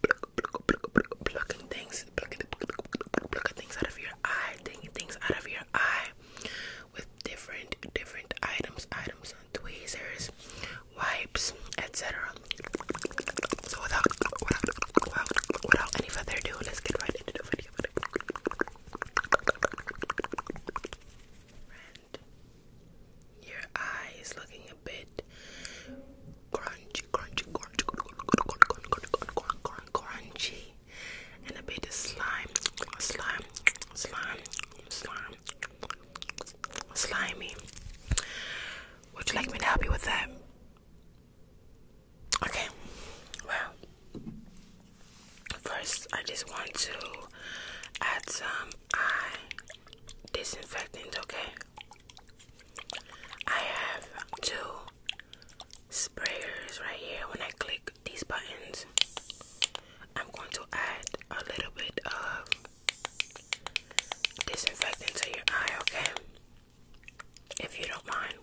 plucking things, plucking, things out of your eye, taking things out of your eye with different, different items, items, tweezers, wipes, etc. So without, any further ado, let's get right into the video. your eye is looking a bit crunchy, crunchy, crunchy, crunchy, crunchy, and a bit of slime, slime, slime, slime, slimy. Would you like me to help you with that? Okay, well, first I just want to add some eye disinfectant, okay? I have two sprayers right here. When I click these buttons, I'm going to add a little bit of disinfectant to your eye, okay? If you don't mind,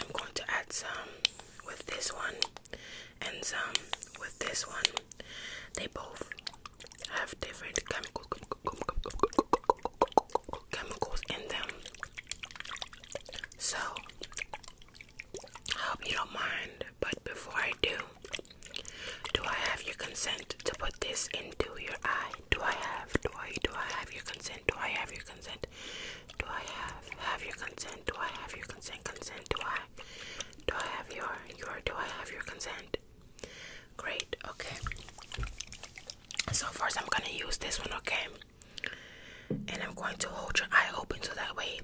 I'm going to add some with this one and some with this one. They both have different chemical chemicals in them. So, I hope you don't mind, but before I do, do I have your consent to put this into your eye? Do I have, do I, do I have your consent? Do I have your consent? Do I have, have your consent? Do I have your consent? Consent? Do I, do I have your, your, do I have your consent? Great, okay. So first I'm gonna use this one, okay? And I'm going to hold your eye open so that way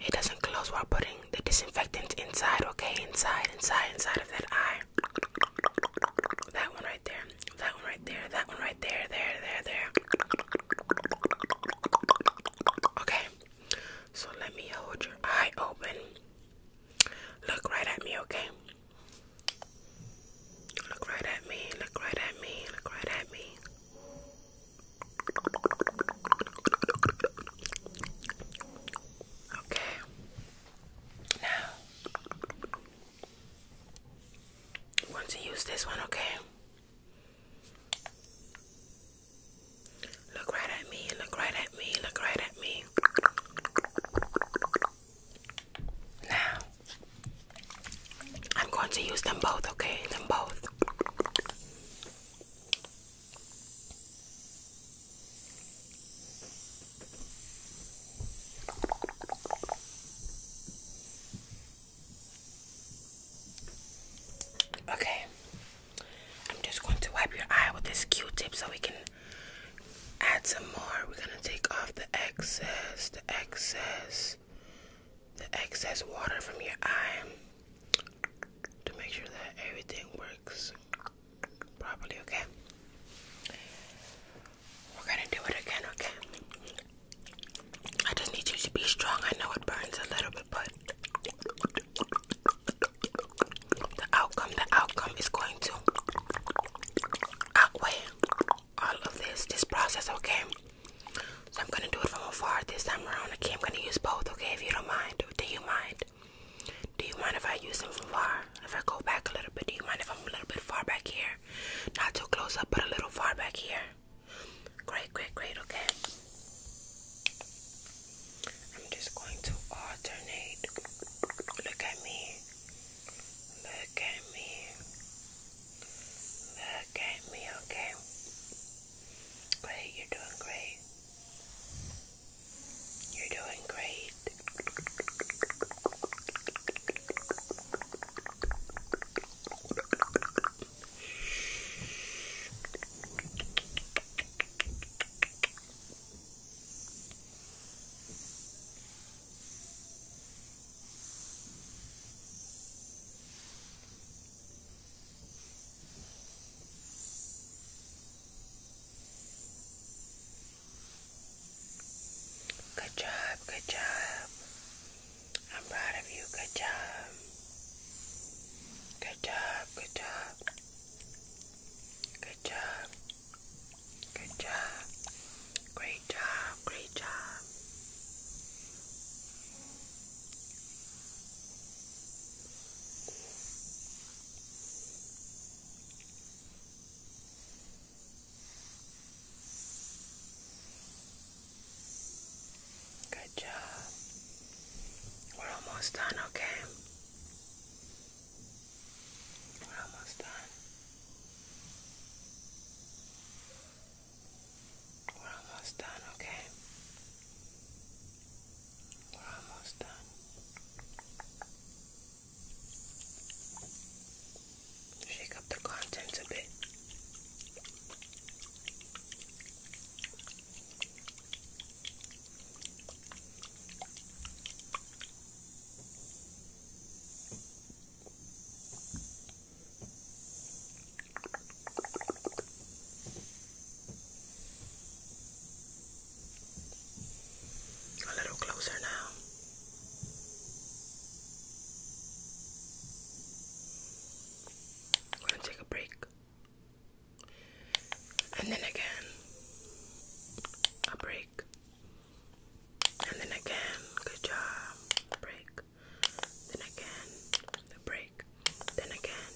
it doesn't close while putting the disinfectant inside, okay? Inside, inside, inside of that eye. That one right there, that one right there, that one right there, there, there, there. Okay, so let me hold your eye open. Look right at me, okay? Look right at me, look right at me, look right at me. Okay. Now, want to use this one, okay? Look right at me, look right at me, look right at me. Now, I'm going to use them both, okay? Them both. Okay, I'm just going to wipe your eye with this Q tip so we can add some more. We're gonna take off the excess, the excess, the excess water from your eye to make sure that everything works properly, okay? We're gonna do it again, okay? I just need you to be strong. I know it burns a little bit, but the outcome, the outcome is going to outweigh all of this, this process, okay? So I'm gonna do it from afar this time around. Okay, I'm gonna use both, okay? If you don't mind, do you mind? Do you mind if I use them from far? If I go back a little bit, do you mind if I'm a little bit far back here? Not too close up, but a little far back here. Great, great, great, okay. I'm just going to alternate. Look at me. Look at me. Look at me, okay? Great, you're doing great. You're doing great. Good job, good job. I'm proud of you. Good job. Good job, good job. Good job. Good job. Great job. Great job. Good job. We're almost done, okay? We're almost done. We're almost done, okay? We're almost done. Shake up the contents a bit. A little closer now. We're going to take a break. And then again, a break. And then again, good job, break. Then again, the break. Then again,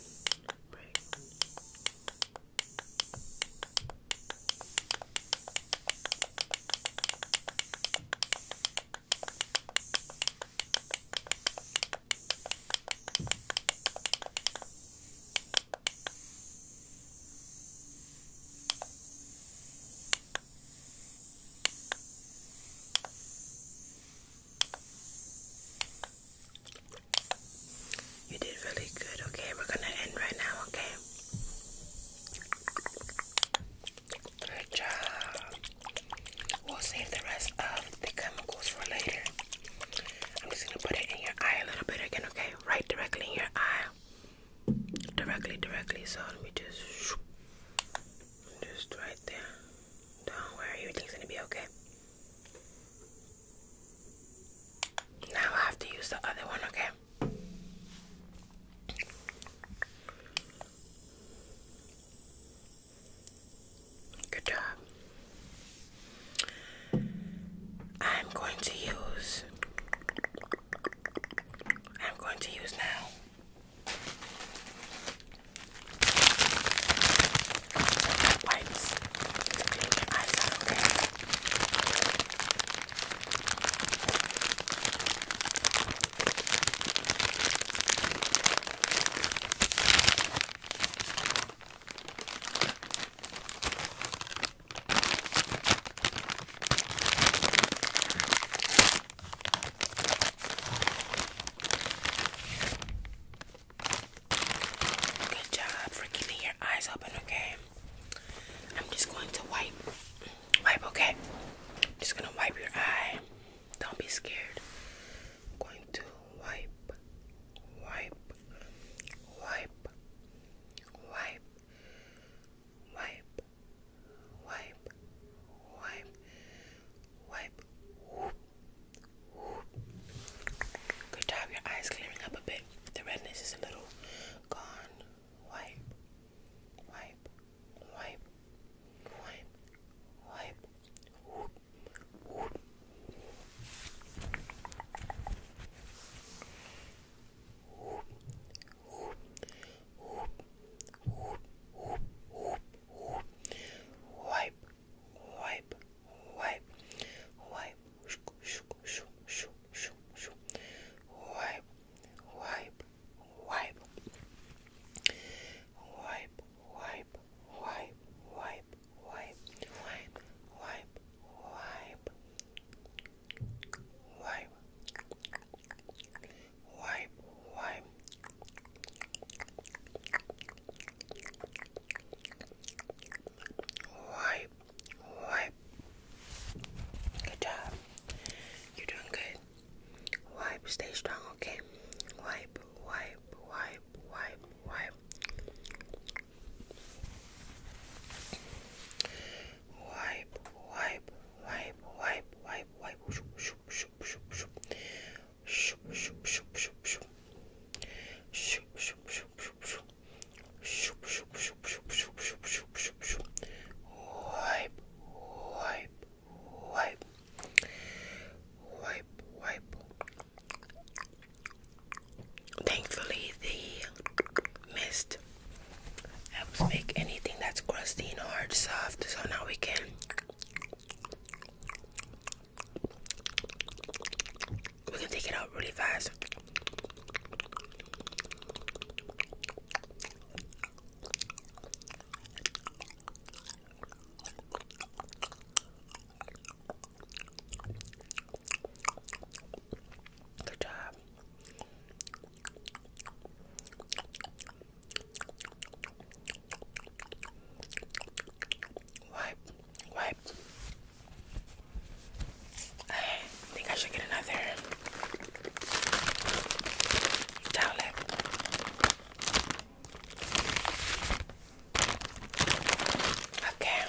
break. You did really good, okay? We're gonna end right now, okay? Good job. We'll save the rest of the chemicals for later. I'm just gonna put it in your eye a little bit again, okay? Right directly in your eye directly directly so let me just just right there don't worry everything's gonna be okay now I have to use the other one okay Good job. I'm going to use I'm going to use now. Wipes to clean your eyes Good job for keeping your eyes open, okay? I'm just going to wipe. Wipe, okay? just gonna wipe your eye. Don't be scared. I'm going to wipe, wipe, wipe, wipe, wipe, wipe, wipe, wipe. Whoop, whoop. Good job, your eyes clearing up a bit. The redness is a little gone. Wipe, wipe, wipe, wipe, wipe. Whoop, whoop wipe, wipe, wipe, wipe, shoo, shoo, shoo, shoo, shoo, shoo. wipe, wipe, wipe, wipe, wipe, wipe, wipe, wipe, wipe, wipe, wipe. Wipe, wipe, wipe, wipe. Wipe, wipe. Good job. You're doing good. Wipe, stay strong, okay? Wipe, wipe, wipe, wipe, wipe wipe, wipe, wipe, wipe, wipe, wipe, shoop, shoop, shoop, shoop, shoop, shoop, shoop, shoop, shoop, shoop, shoop, shoop, shoop, shoop, shoop. Shoop, shoop, shoop, shoop, shoop, shoop, shoop, shoop, shoop. Wipe, wipe, wipe, wipe, wipe. Thankfully, the mist helps make anything that's crusty and hard soft. So now we can we can take it out really fast. Good job. Wipe, wipe. I think I should get another towel. Okay.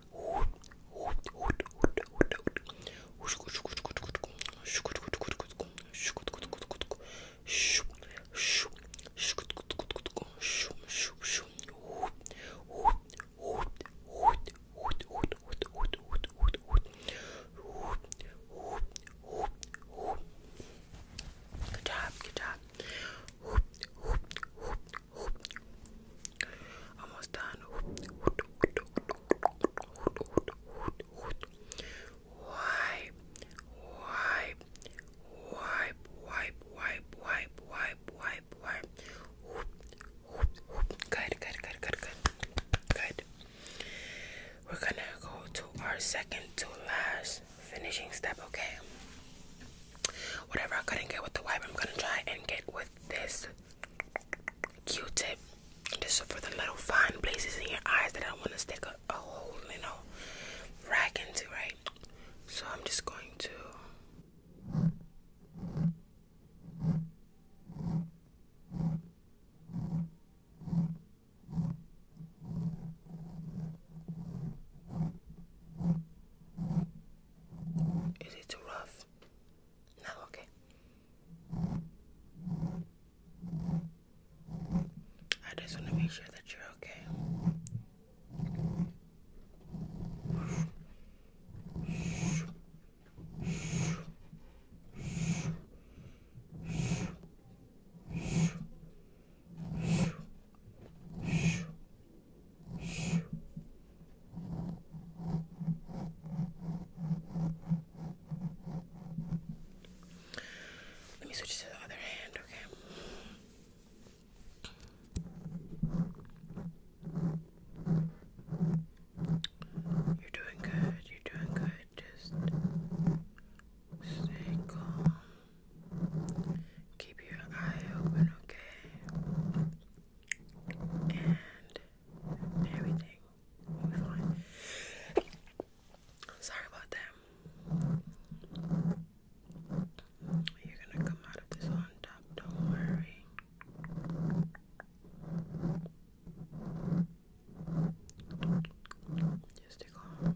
Good job, good job. Hoop, hoop, hoop, hoop. Almost done. Wipe, wipe, wipe, wipe, wipe, wipe, wipe, wipe, Good, good, good, good, good. Good. We're gonna go to our second to last finishing step, okay? Whatever I couldn't get with the wipe, I'm gonna try and get with this Q-tip. just for the little fine places in your eyes that I want to stick a, whole, little rag into, right? So I'm just going to. Is it rough? this. No, okay. I just want to make sure that you're okay. Let me switch to the other hand, okay? You're doing good, you're doing good. Just stay calm. Keep your eye open, okay? And everything will be fine. Sorry about that. You're gonna come out of this on top, don't worry. Just stick on.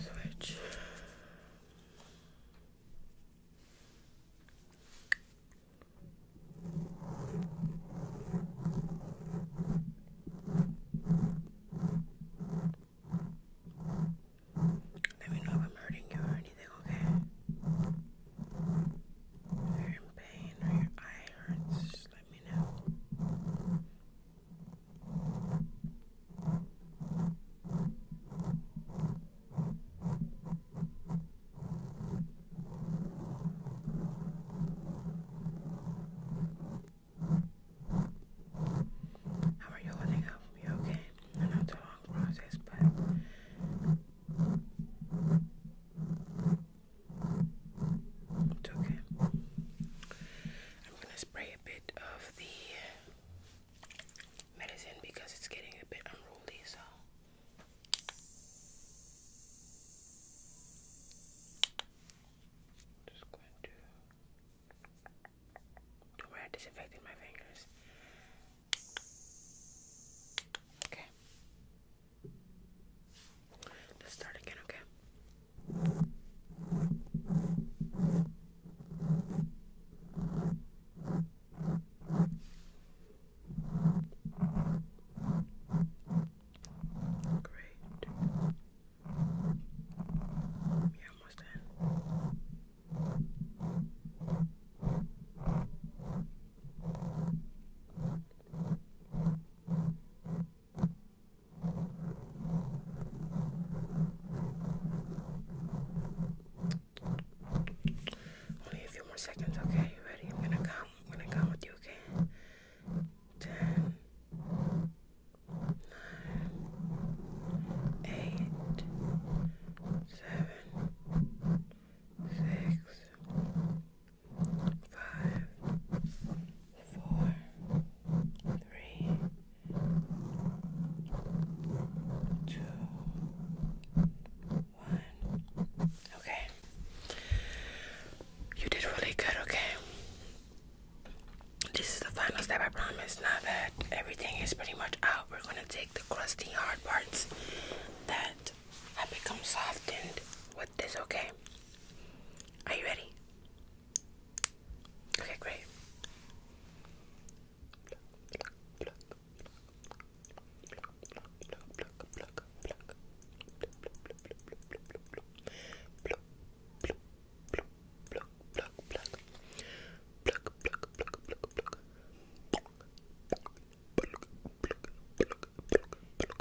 Switch. Let me know if I'm hurting you or anything, okay? you in pain or your eye hurts. How are you holding up? You okay? I know it's a long process, but okay. I'm gonna spray a bit of the medicine because it's getting a bit unruly, so. Just going to. Don't I disinfected my fingers. Okay. Let's start again, okay? Great. you almost there. Only a few more seconds, okay? You ready? I'm gonna come. I'm gonna count with you, okay? Ten, nine, eight, seven, six, five, four, three, two, one. Okay. You did really good, okay? This is the final step, I promise. Now that everything is pretty much out, we're gonna take the crusty hard parts that have become softened with this, okay? Are you ready? Okay, great.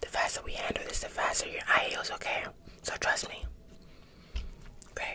The faster we handle this, the faster your eye heals, okay? So trust me. Okay.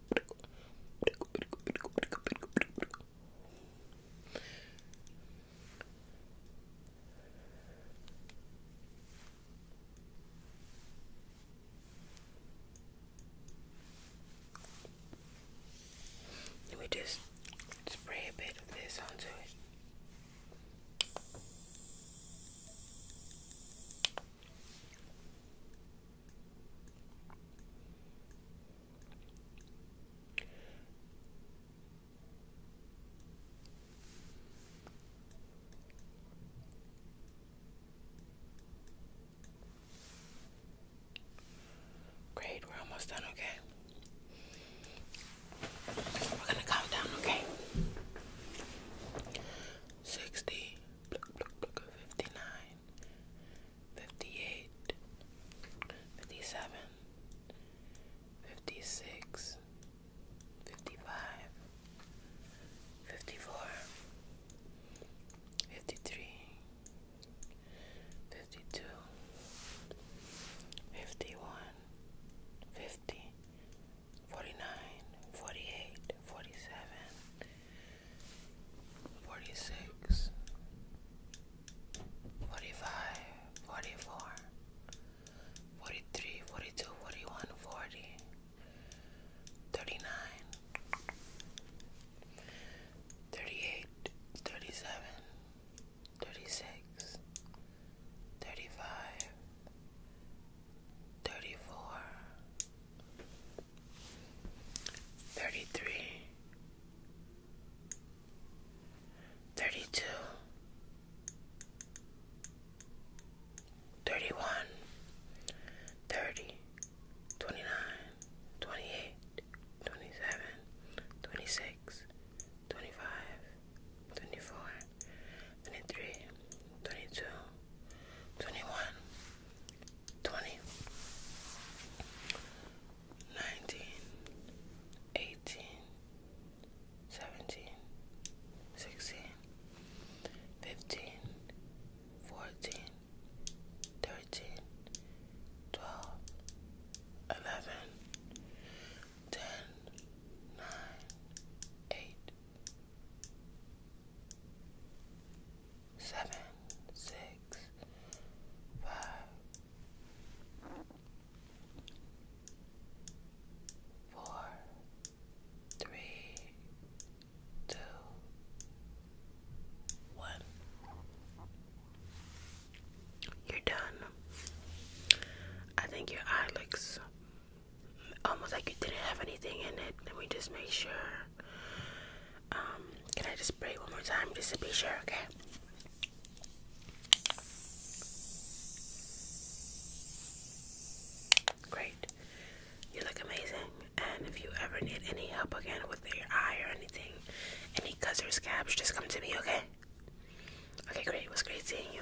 Let me just spray a bit of this onto it. Great, we're almost done, okay? We're gonna count down, okay? 60, 58 57 56 55 54 53 52 51 49 48 47 46 45 44 43 42 41 40 39 38 37 36 35 34 Thirty-three, thirty-two, thirty-one, thirty, twenty-nine, twenty-eight, twenty-seven, twenty-six, twenty-five, twenty-four, twenty-three, twenty-two, twenty-one, 20 18 17 16 15 14 13 12 11 10 9 8 seven, six, five, four, three, two, one. You're done. I think your eye looks almost like you didn't have anything in it. Let me just make sure. Um, can I just pray one more time just to be sure, okay? Great. You look amazing. And if you ever need any help again with your eye or anything, any cuts or scabs, just come to me, okay? Okay, great. It was great seeing you.